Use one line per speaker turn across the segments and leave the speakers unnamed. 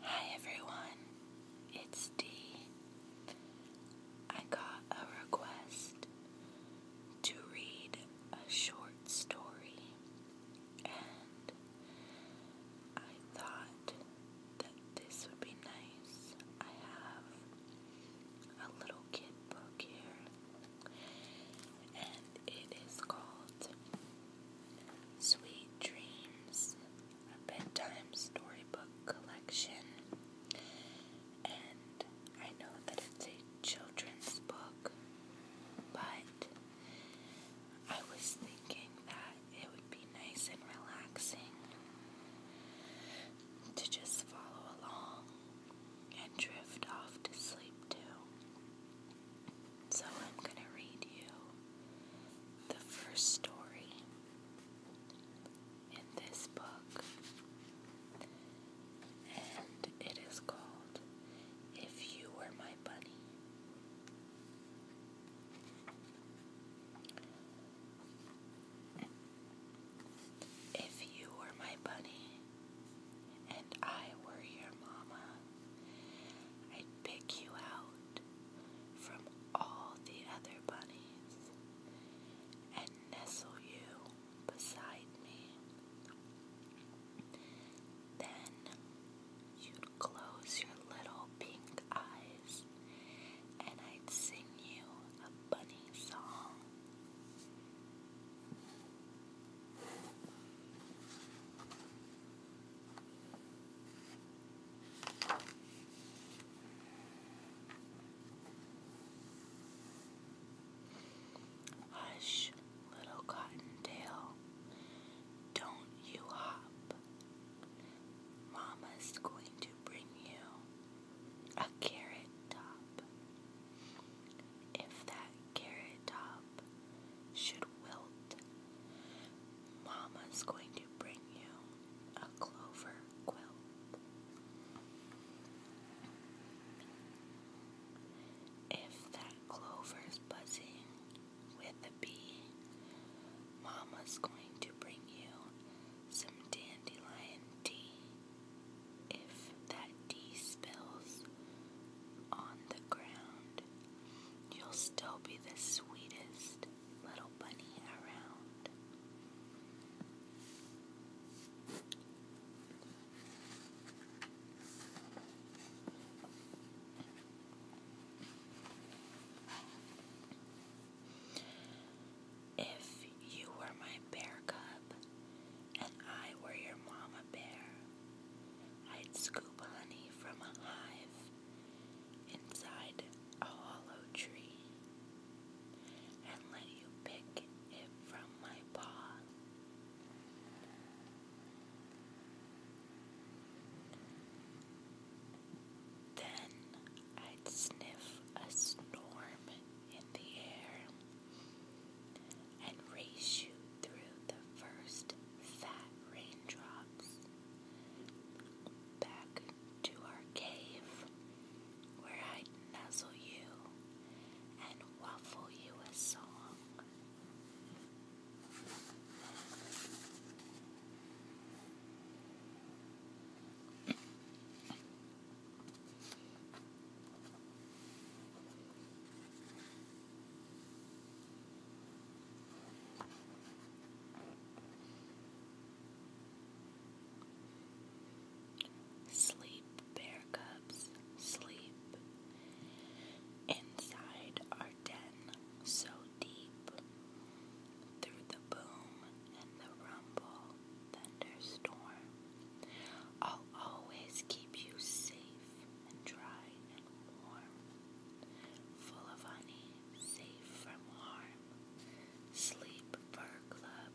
Hi everyone, it's Dee. I got a request to read a short story, and I thought that this would be nice. I have a little kid book here, and it is called Sweet Dreams, a bedtime storybook collection, and I know that it's a children's book, but I was thinking that it would be nice and relaxing to just follow along and drift off to sleep too. So I'm going to read you the first story in this book, and it is called If You Were My Bunny. If you were my bunny and I were your mama, I'd pick you out from all the other bunnies and nestle you beside me. Then you'd close your little pink eyes and I'd sing you a bunny song. Hush, little cottontail, don't you hop. Mama's going to bring you a carrot top. If that carrot top should wilt, Mama's going to bring you a clover quilt. If that clover's buzzing with a bee, Mama's going to bring you some dandelion tea. If that tea spills on the ground, you'll still be the sweetest little bunny around. If you were my bear cub, and I were your mama bear, I'd scoop honey from a hive inside a hollow tree and let you pick it from my paw. Then I'd sniff a storm in the air and race you through the first fat raindrops back to our cave where I'd nuzzle you and waffle you a song. Sleep, bear cubs, sleep. Inside our den, so deep. Through the boom and the rumble, thunderstorm, I'll always keep you safe and dry and warm, full of honey, safe from harm. Sleep, fur club,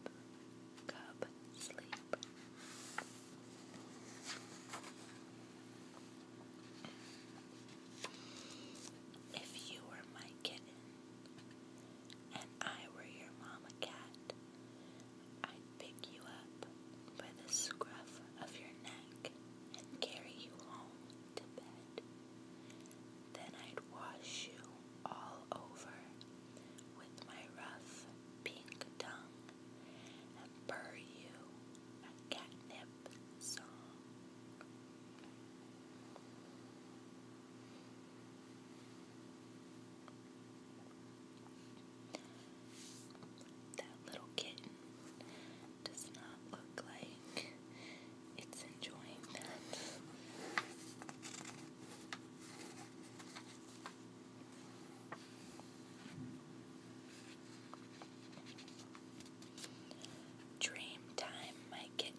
cub, sleep. If you were my kitten, and I were your mama cat, I'd pick you up by the scruff of your neck and carry you home to bed. Then I'd wash you all over with my rough pink tongue and purr you a catnip song. That little kitten does not look like it's enjoying that. Dream time, my kitten.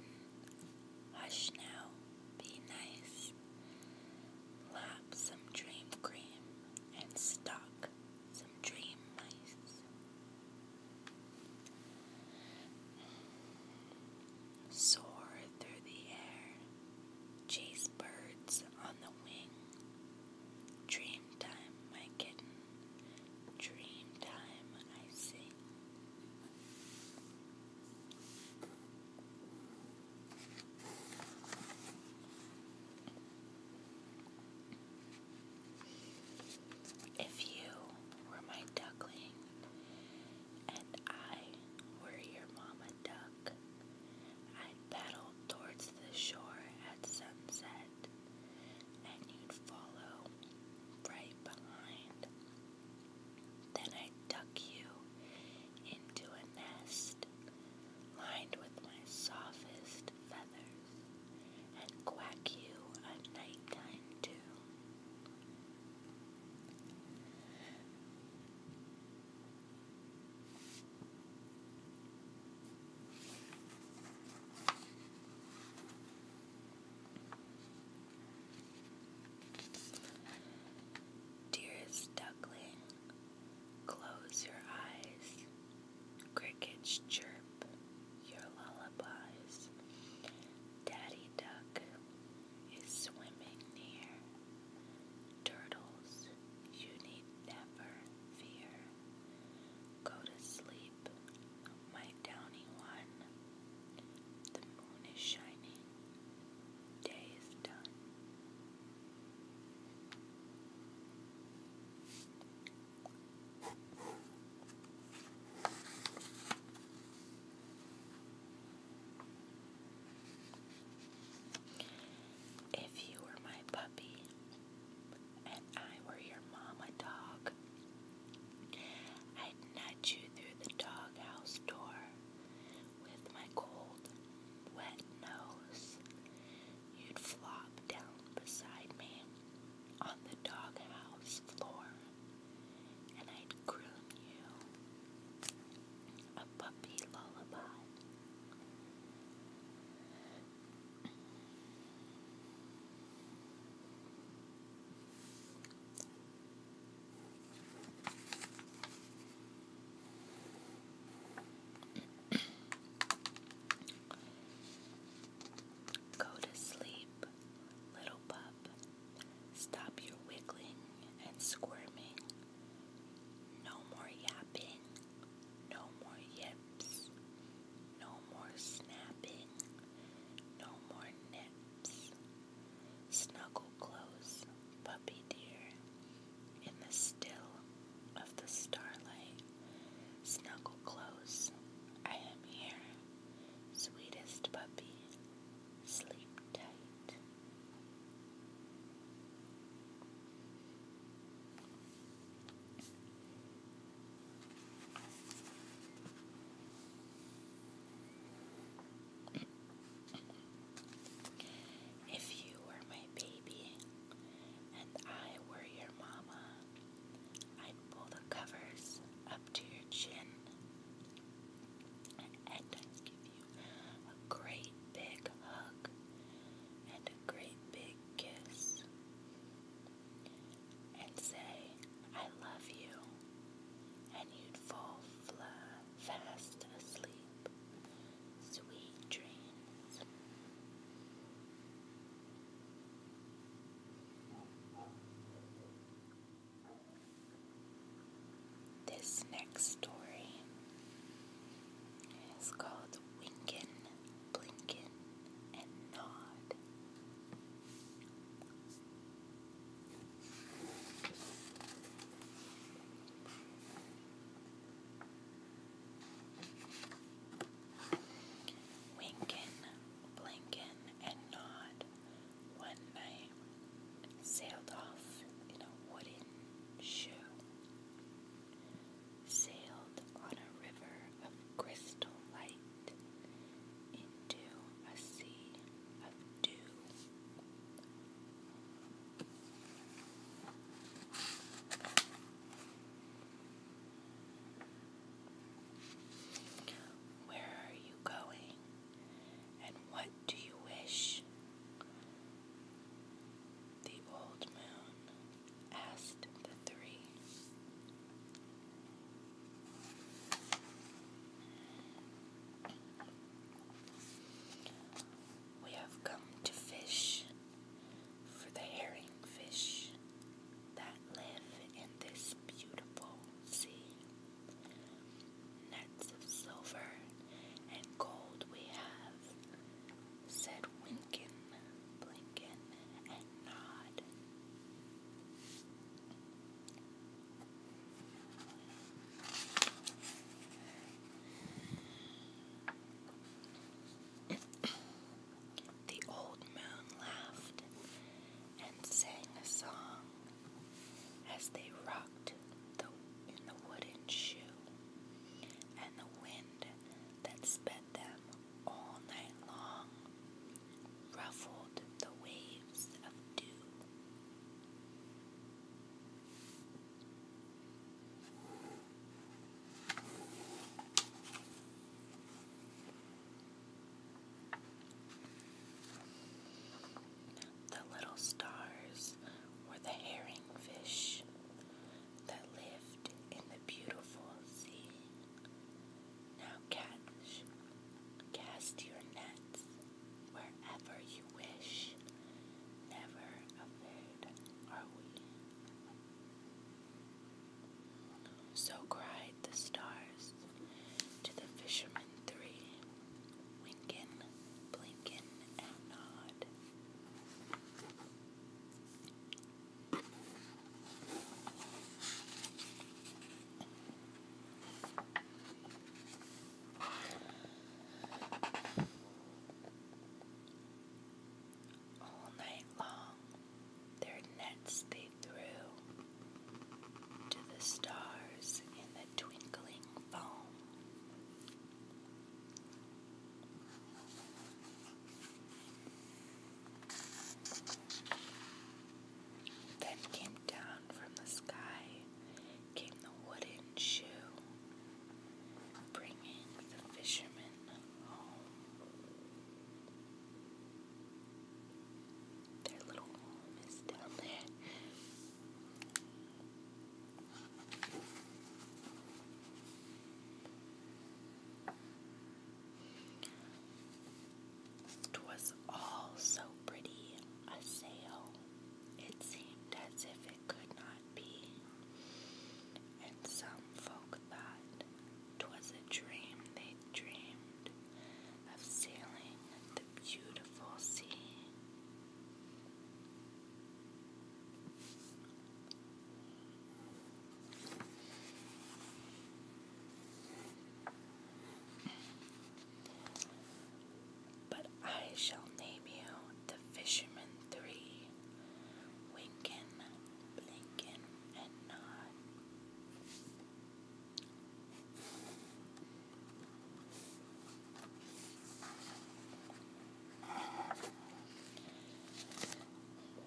Hush now, be nice. Lap some dream cream and stock some dream mice. Soar through the air, chase birds on the wing. Dream time, my kitten, dream time, I sing. If you were my duckling and I were your mama duck, i paddle towards the shore at sunset and you'd follow right behind. Then I'd tuck you into a nest lined with my softest feathers, and quack you at night time Dearest duckling, Close your eyes. Crickets chirp your lullabies. Daddy Duck is swimming near. Turtles, you need never fear. Go to sleep, my downy one. The moon is shining. Day is done. If you were my puppy and I were your mama dog, I'd nudge you through the doghouse door with my cold, wet nose. You'd flop down beside me on the doghouse floor, and I'd croon you a puppy lullaby. Go to sleep, little pup. Stop your wiggling and squirming. No more yapping. No more yips. No more snapping. No more nips. Snuggle close, puppy dear, in the still of the starlight. Snuggle close, I am here, sweetest puppy, sleep tight. If you were my baby and I were your mama, I'd pull the covers up to your chin and give you a great big hug and a great big kiss and say, I love you, and you'd fall flat fast asleep. Sweet dreams. This next story is called Winkin, Blinkin, and Nod. Winkin, blinkin, and Nod one night sailed off in a wooden shoe, sailed on a river of crystal light into a sea of dew. Where are you going? And what do you wish? The old moon asked the three. We have come to fish for the herring fish that live in this beautiful sea. Nets of silver and gold we have, said Winkin, Blinkin, and Nod. The old moon laughed and sang a song as they rocked in the wooden shoe, and the wind that sped them all night long ruffled the waves of dew the little stars were the herring fish that lived in the beautiful sea. Now catch, cast your nets wherever you wish. Never afraid are we. So cried the stars to the fishermen three, winkin', blinkin', and nod. All night long, their nets they threw to the stars in the twinkling foam. Then came down from the sky came the wooden shoe, bringing the fisherman home. Their little home is down there. 'Twas all so pretty a sail, it seemed as if it could not be, and some folk thought 'twas a dream they dreamed of sailing the beautiful sea. But I shall name you the Fisherman Three Winkin, Blinkin, and Nod.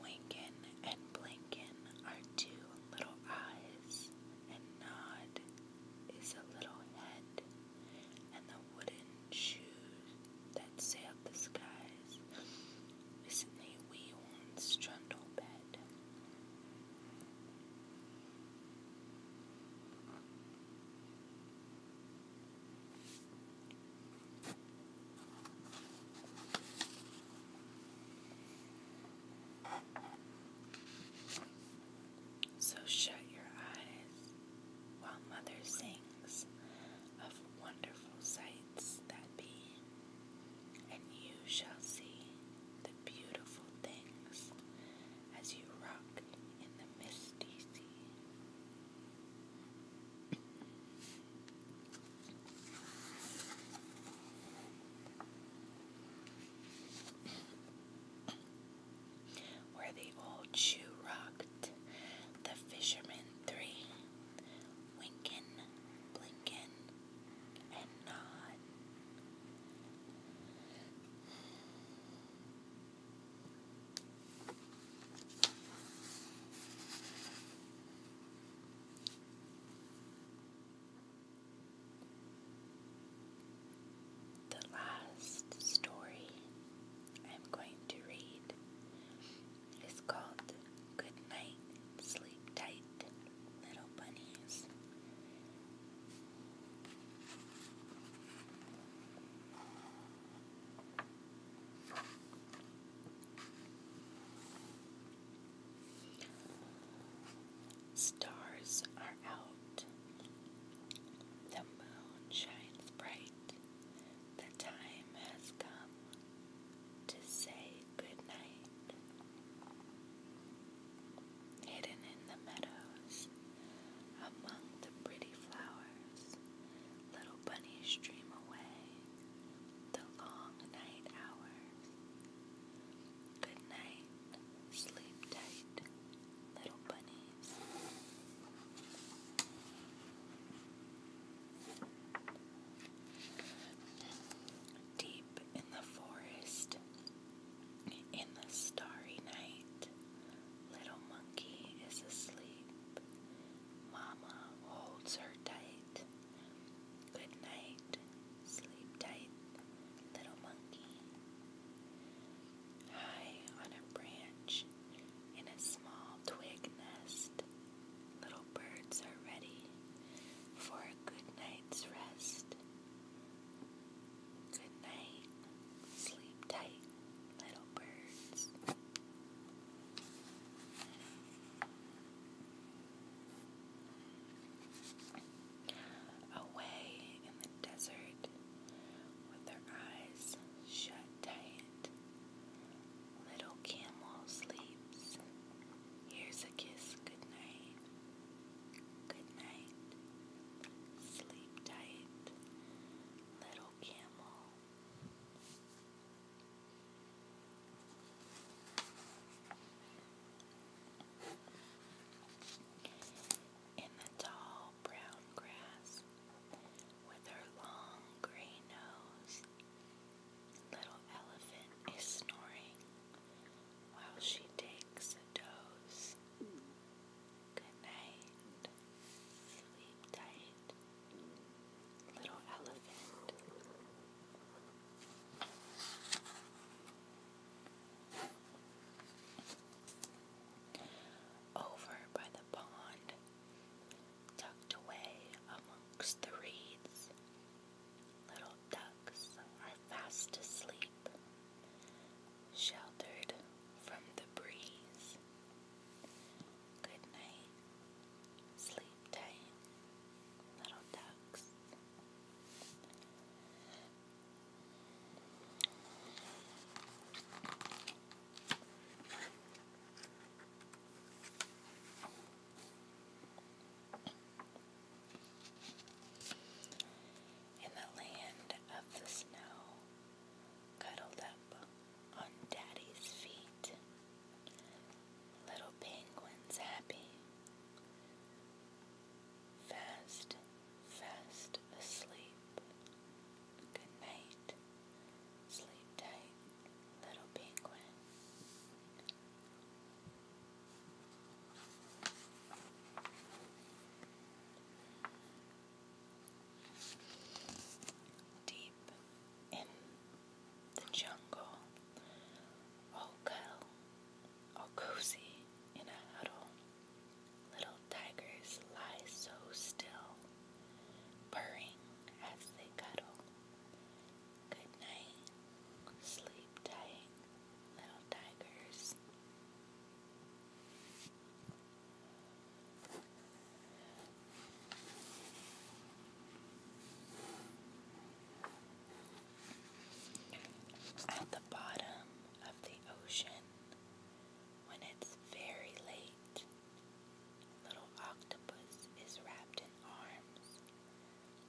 Winkin and Blinkin are two little eyes, and Nod is a little head, and the wooden shoes that sailed the skies is in a bed. So shut your eyes while Mother sings of wonderful sights that be, and you shall see the beautiful things as you rock in the misty sea. Where the old shoe rocked, the fishermen three, winkin, blinkin, and nod. The last story I'm going to read is called Good Night, Sleep Tight, Little Bunnies. Stars are out. The moon shines bright. The time has come to say good night. Hidden in the meadows, among the pretty flowers, little bunnies dream away the long night hours Good night. Sleep tight, little bunnies. Deep in the forest, in the starry night, little monkey is asleep. Mama holds her tight. Good night. Sleep tight, little monkey. High on a branch in a small twig nest, little birds are ready for a good night's rest. Good night. Sleep tight, little birds. Away in the desert, with their eyes shut tight, little camel sleeps. Here's a kiss, good night, good night, sleep tight, little camel. In the tall brown grass, with her long gray nose, Little Elephant is snoring while she takes a dose. Good night. Sleep tight. Little elephant. Over by the pond, tucked away amongst the reeds, little ducks are fast asleep, sheltered from the breeze. Good night, sleep tiny little ducks. In the land of the snow, cuddled up on Daddy's feet, Little penguins happy, fast, fast asleep. Good night, sleep tight, little penguin. Deep in the jungle, all curl, all cozy in a huddle. Little tigers lie so still, purring as they cuddle. Good night, sleep tight, little tigers. At the bottom of the ocean, when it's very late, little octopus is wrapped in arms.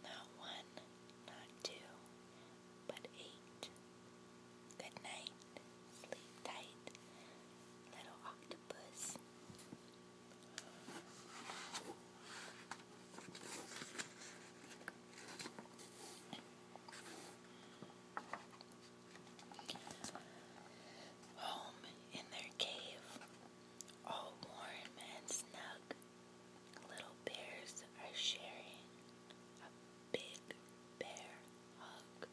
Not one, not two, but eight. Good night, sleep tight, little octopus. Home in their cave, all warm and snug, little bears are sharing a big bear hug.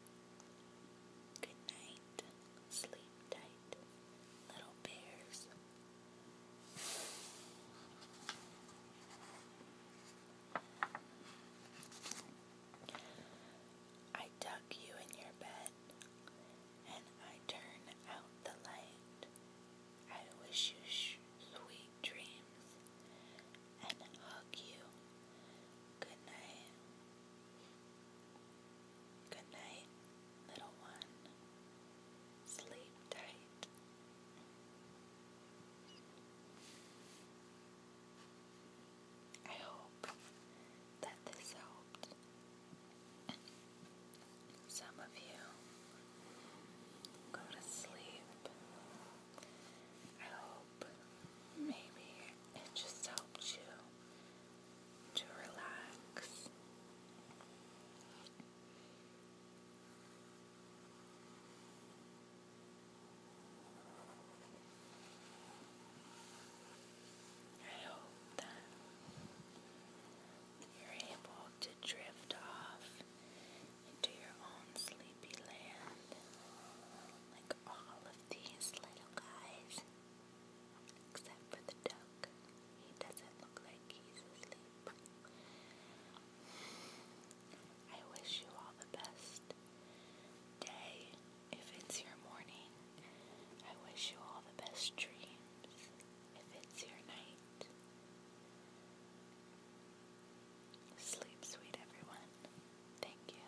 Good night, sleep tight little bears. I tuck you in your bed and I turn out the light. I wish you sweet dreams and hug you. Good night. Good night, little one. Sleep tight. I hope that this helped some of you go to sleep. I hope maybe it just helped you to relax. I hope that you're able to drift off into your own sleepy land like all of these little guys. Except for the duck. He doesn't look like he's asleep. I wish you all the best day. If it's your morning, I wish you all the best dreams. If it's your night, sleep sweet, everyone. Thank you.